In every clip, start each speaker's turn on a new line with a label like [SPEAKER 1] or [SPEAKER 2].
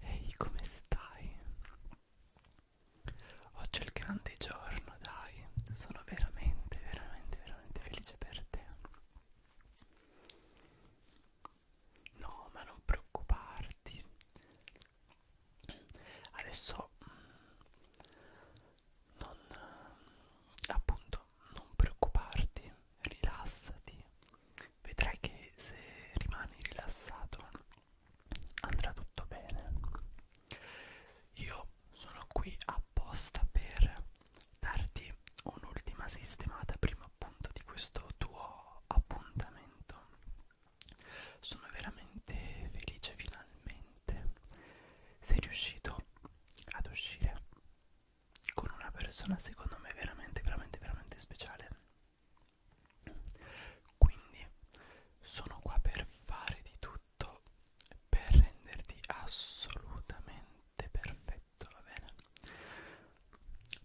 [SPEAKER 1] Ehi, come stai? Oggi è il grande giorno, dai. Sono veramente, veramente, veramente felice per te. No, ma non preoccuparti. Adesso mm, non appunto non preoccuparti, rilassati. Vedrai che se rimani rilassato andrà tutto bene. Io sono qui apposta per darti un'ultima sistemata prima appunto di questo tuo appuntamento sono veramente felice finalmente sei riuscito ad uscire con una persona secondo me veramente veramente veramente speciale quindi sono qua per fare di tutto per renderti assolutamente perfetto tutto va bene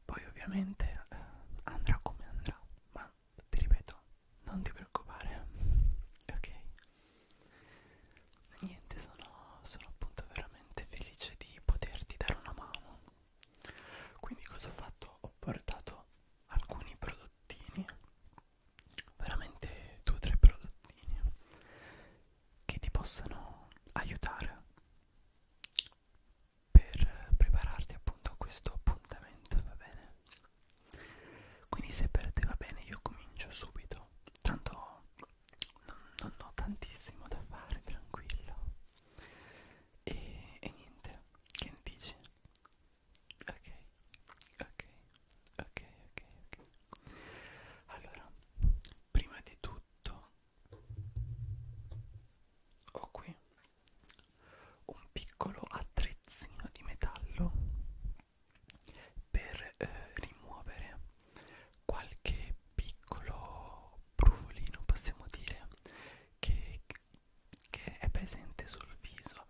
[SPEAKER 1] poi ovviamente eh, andrà come andrà ma ti ripeto non ti preoccupare ok niente sono, sono appunto veramente felice di poterti dare una mano quindi cosa ho fatto ho portato alcuni prodottini veramente due o tre prodottini che ti possano aiutare per prepararti appunto a questo appuntamento, va bene? Quindi se per te va bene io comincio subito, tanto non, non ho tantissimo da fare, tranquillo. E, e niente, che ne dici? Ok, ok, ok, ok, ok. Allora, prima di tutto ho qui un piccolo attrezzino di metallo per eh, rimuovere qualche piccolo brufolino possiamo dire che, che è presente sul viso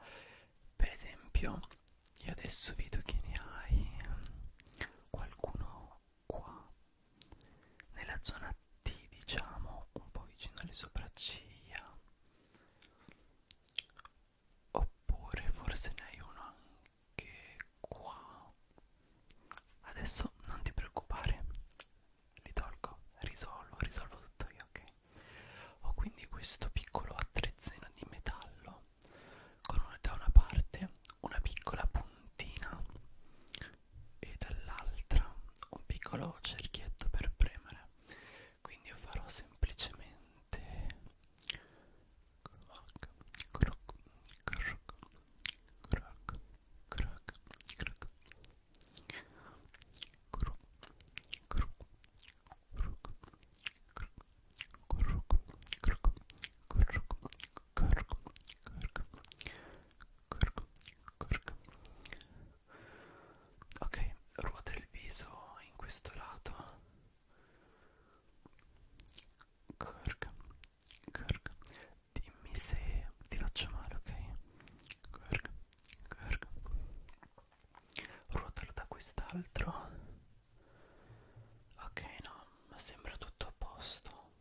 [SPEAKER 1] per esempio io adesso vedo che ne hai eh, qualcuno qua nella zona T diciamo un po' vicino alle sopracciglia oppure forse ne hai uno anche qua adesso non ti preoccupare li tolgo risolvo risolvo tutto io ok ho quindi questo piccolo attrezzino di metallo con una, da una parte una piccola puntina e dall'altra un piccolo cerchietto per premere quindi io farò semplicemente croc croc croc croc croc croc croc croc croc croc croc croc croc croc Corco, corco, corco, corco. Ok, ruota il viso in questo lato. Corco, corco. Dimmi se ti faccio male, ok? Corco, corco. Ruotalo da quest'altro ok no ma sembra tutto a posto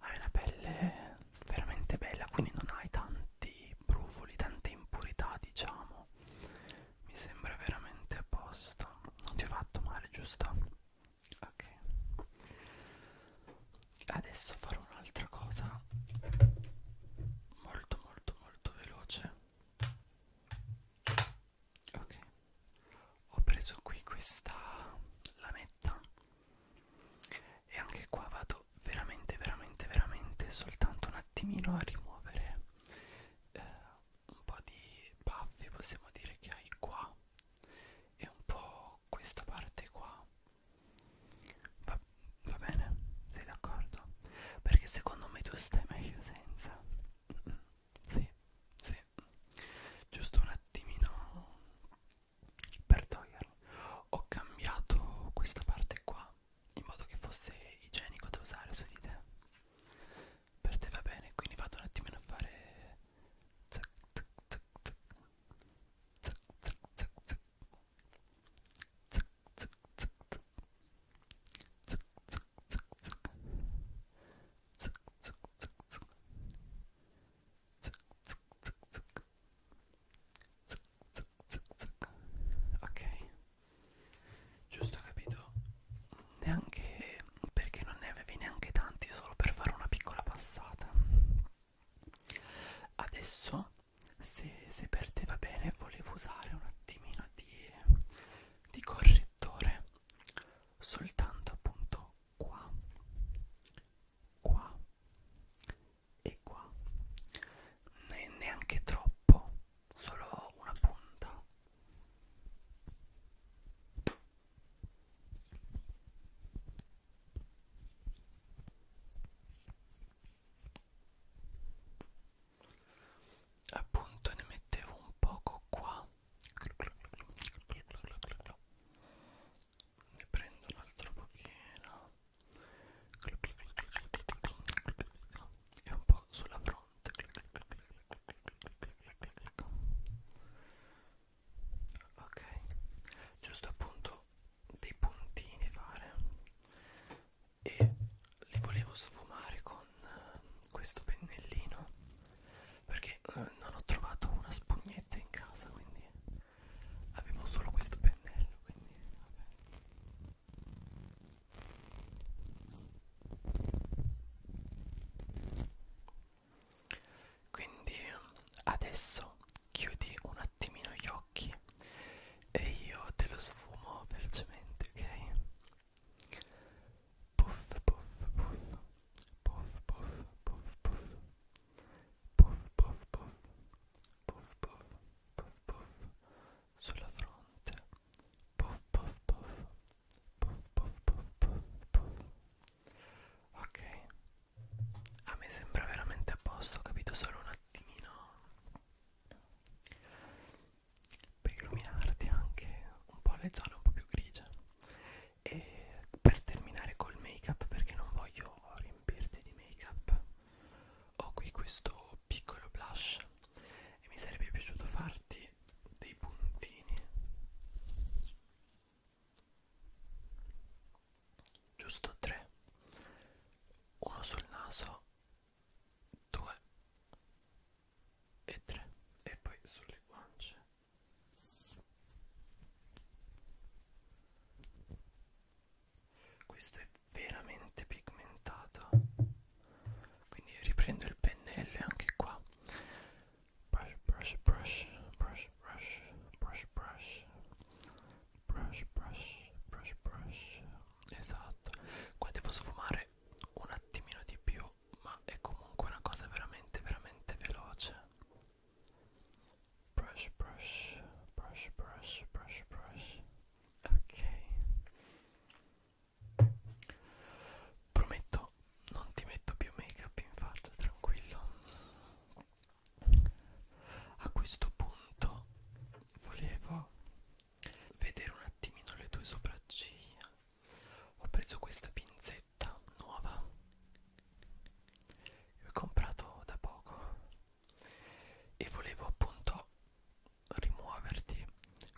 [SPEAKER 1] hai una pelle veramente bella quindi non hai tanti brufoli tante impurità diciamo mi sembra veramente a posto non ti ho fatto male giusto ok adesso farò un'altra cosa molto molto molto veloce ok ho preso qui questa lametta e anche qua vado veramente veramente veramente soltanto un attimino a rimuovere eh, un po' di baffi possiamo dire che hai qua e un po' questa parte qua va, va bene sei d'accordo perché secondo me tu stai meglio senza sì, sì. Giusto un attimino per toglierlo. Ho cambiato questa parte qua in modo che fosse igienico da usare su di te. Per te va bene, quindi vado un attimino a fare zac, zac, zac, zac. Zac, zac, zac, zac. Zac, zac, zac, zac. Zuc, zuc, zuc, zuc. Zuc, zuc, zuc, zuc. Zuc, zuc, zuc, zuc. Zuc, zuc, zuc, zuc. Ok, giusto capito? Neanche perché non ne avevi neanche tanti, solo per fare una piccola passata. Adesso, se, se per te va bene, volevo usare un attimino di, di correzione lettore soltanto appunto qua qua e qua ne neanche troppo solo una punta appunto ne mettevo un poco qua ne prendo un altro pochino e un po' sulla fronte ok giusto appunto dei puntini fare e li volevo sfumare con eh, questo pennellino perché eh, non ho trovato una spugnetta in casa quindi avevo solo questo pennello quindi vabbè quindi adesso chiudi un attimino gli occhi e io te lo sfumo velocemente, ok? puff puff puff puff puff puff puff puff puff puff puff puff puff puff sulla fronte puff puff puff puff puff puff puff puff ok a me sembra veramente a posto ho capito solo un attimino per illuminarti anche un po' le zone un po' più grigie e per terminare col make up perché non voglio riempirti di make up ho qui questo piccolo blush e mi sarebbe piaciuto farti dei puntini giusto tre uno sul naso 2 e 3 e poi sulle guance questo è veramente pigmentato quindi riprendo il pennello anche qua brush brush brush brush brush brush brush brush brush brush brush esatto qua devo sfumare un attimino di più ma è comunque una cosa veramente veramente veloce brush brush brush brush brush brush ok prometto non ti metto più make up in faccia tranquillo a questo punto volevo vedere un attimino le tue sopracciglia ho preso questa pinzetta nuova che ho comprato da poco e volevo appunto rimuoverti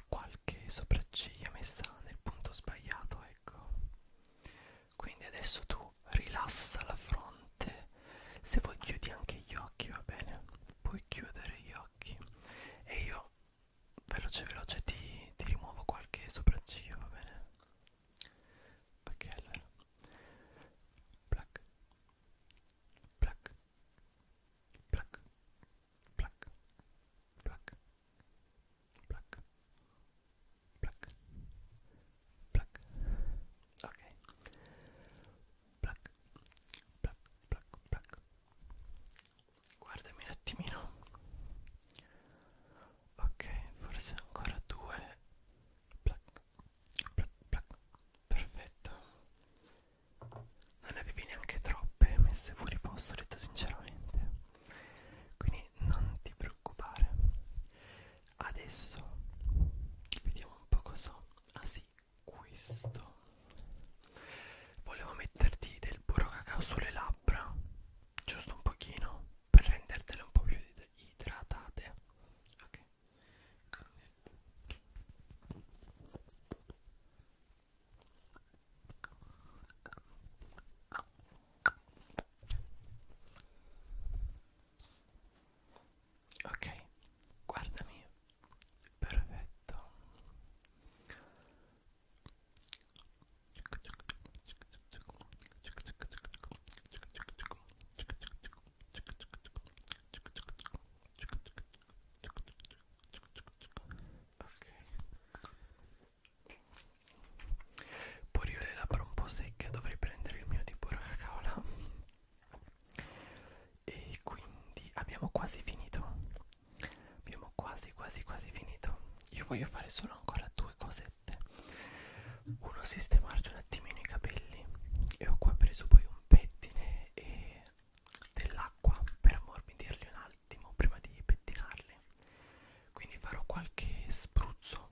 [SPEAKER 1] qualche sopracciglia messa nel punto sbagliato ecco quindi adesso tu rilassa la fronte se vuoi chiudi anche gli occhi va bene puoi chiudere gli occhi e io veloce veloce ti, ti rimuovo qualche sopracciglio va bene ok allora plac plac plac plac plac plac plac plac ok Black, black, black, black. Guardami un attimino. Ok, forse ancora due. Black, black, black. Perfetto. Non ne avevi neanche troppe messe fuori posto, detta sinceramente. Quindi non ti preoccupare. Adesso vediamo un po' cosa. Ah sì, ragazzi questo volevo metterti del burro cacao sulle labbra giusto un pochino per rendertele un po' più idratate ok ok guardami perfetto Ok Pure io le labbra un po' secche Dovrei prendere il mio tipo cacao là e quindi abbiamo quasi finito abbiamo quasi quasi quasi finito io voglio fare solo ancora due cosette uno sistemarci un attimino i capelli e ho qua preso poi un pettine e dell'acqua per ammorbidirli un attimo prima di pettinarli quindi farò qualche spruzzo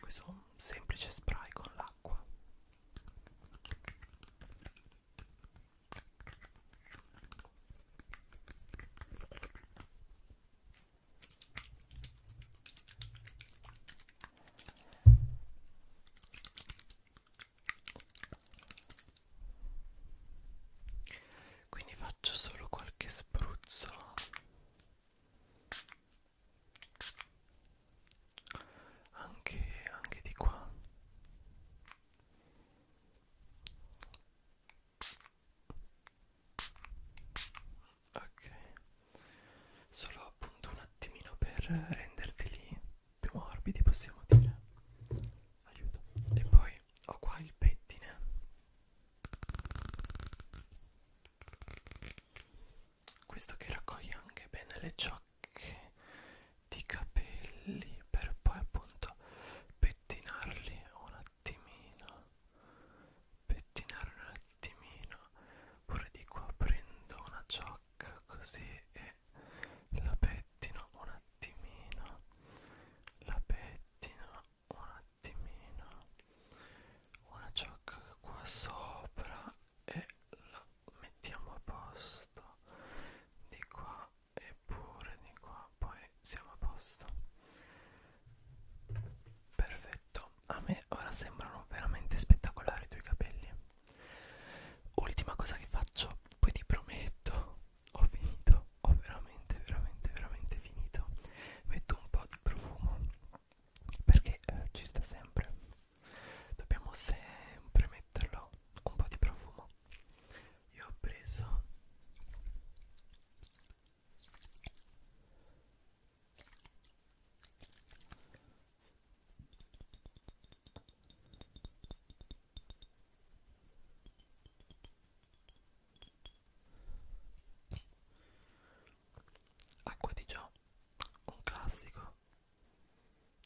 [SPEAKER 1] questo è un semplice spray con l'acqua quindi faccio solo qualche spruzzo anche, anche di qua ok solo appunto un attimino per renderteli più morbidi possiamo dire aiuto e poi ho qua il pettine questo che raccoglie anche bene le ciocche di capelli per poi appunto pettinarli un attimino pettinare un attimino pure di qua prendo una ciocca così e la pettino un attimino la pettino un attimino attimino una ciocca qua sopra e la mettiamo a posto di qua e pure di qua poi siamo a posto perfetto a me ora sembrano veramente spettacolari i tuoi capelli ultima cosa che faccio poi ti prometto ho finito ho veramente veramente veramente finito metto un po' di profumo perché eh, ci sta sempre dobbiamo sempre metterlo un po' di profumo io ho preso Acqua di Gio, un classico.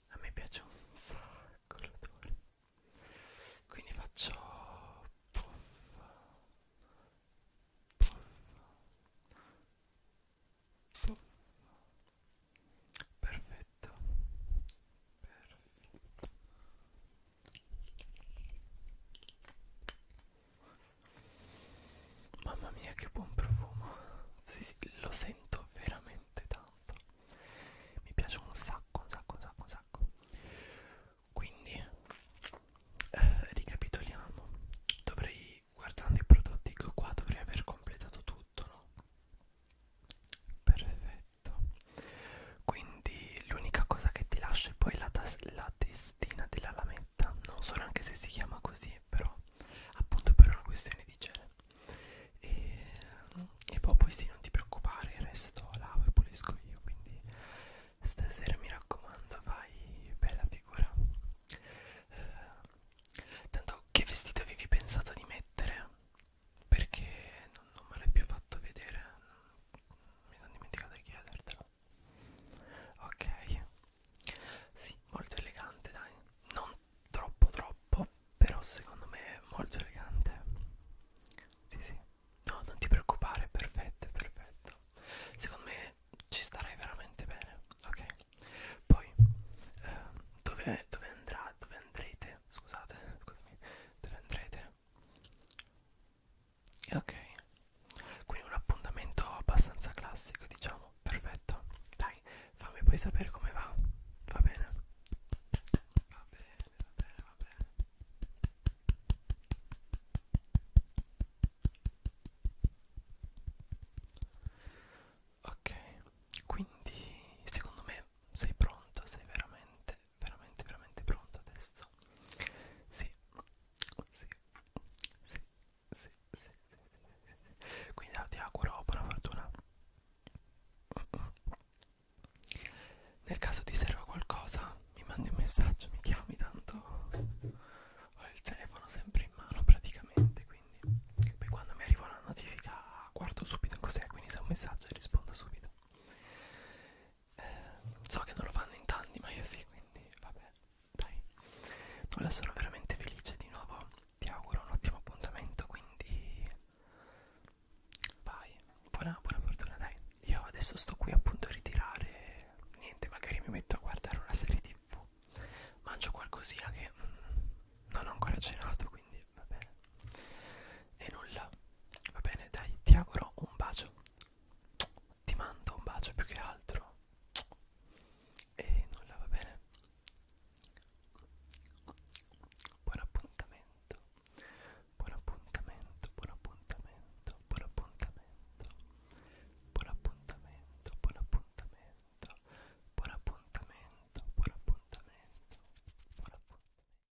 [SPEAKER 1] A me piace un sacco l'odore. Quindi faccio puff, puff, puff. Perfetto. Perfetto. Mamma mia che buon profumo sì, sì, Lo sento veramente tanto Mi piace un sacco, un sacco, un sacco, un sacco Quindi eh, Ricapitoliamo Dovrei, guardando i prodotti che ho qua Dovrei aver completato tutto, no? Perfetto Quindi l'unica cosa che ti lascio è poi la, la testa Palestina della Lametta, non so neanche se si chiama così, però appunto per una questione di genere. E, e poi, poi sì, non ti preoccupare, il resto lavo e pulisco io, quindi stasera mi raccomando, fai bella figura. Eh, tanto che vestito avevi pensato di mettere? Perché non, non me l'hai più fatto vedere, mi sono dimenticato di chiedertelo ok sì molto elegante dai non troppo troppo però secondo me è molto elegante sì sì no non ti preoccupare perfetto perfetto secondo me ci starai veramente bene ok poi eh, dove, dove andrà dove andrete scusate scusami dove andrete ok quindi un appuntamento abbastanza classico diciamo perfetto dai fammi poi sapere come va va bene va bene va bene va bene ok quindi secondo me sei pronto sei veramente veramente veramente pronto adesso sì sì sì sì, sì, sì, sì, sì. quindi ah, ti auguro buona fortuna nel caso ti serva qualcosa mi mandi un messaggio mi chiami tanto ho il telefono sempre in mano praticamente quindi poi quando mi arriva una notifica ah, guardo subito cos'è quindi se è un messaggio rispondo subito eh, so che non lo fanno in tanti ma io sì quindi vabbè dai Nulla sono veramente felice di nuovo ti auguro un ottimo appuntamento quindi vai buona, buona fortuna dai io adesso sto qui appunto a ritirare niente magari mi metto a guardare una serie tv mangio qualcosina che mm, non ho ancora cenato quindi va bene e nulla, va bene, dai, ti auguro un bacio. Ti mando un bacio più che altro. E nulla, va bene. Buon appuntamento. Buon appuntamento, buon appuntamento, buon appuntamento. Buon appuntamento, buon appuntamento. Buon appuntamento, buon appuntamento. Buon appuntamento.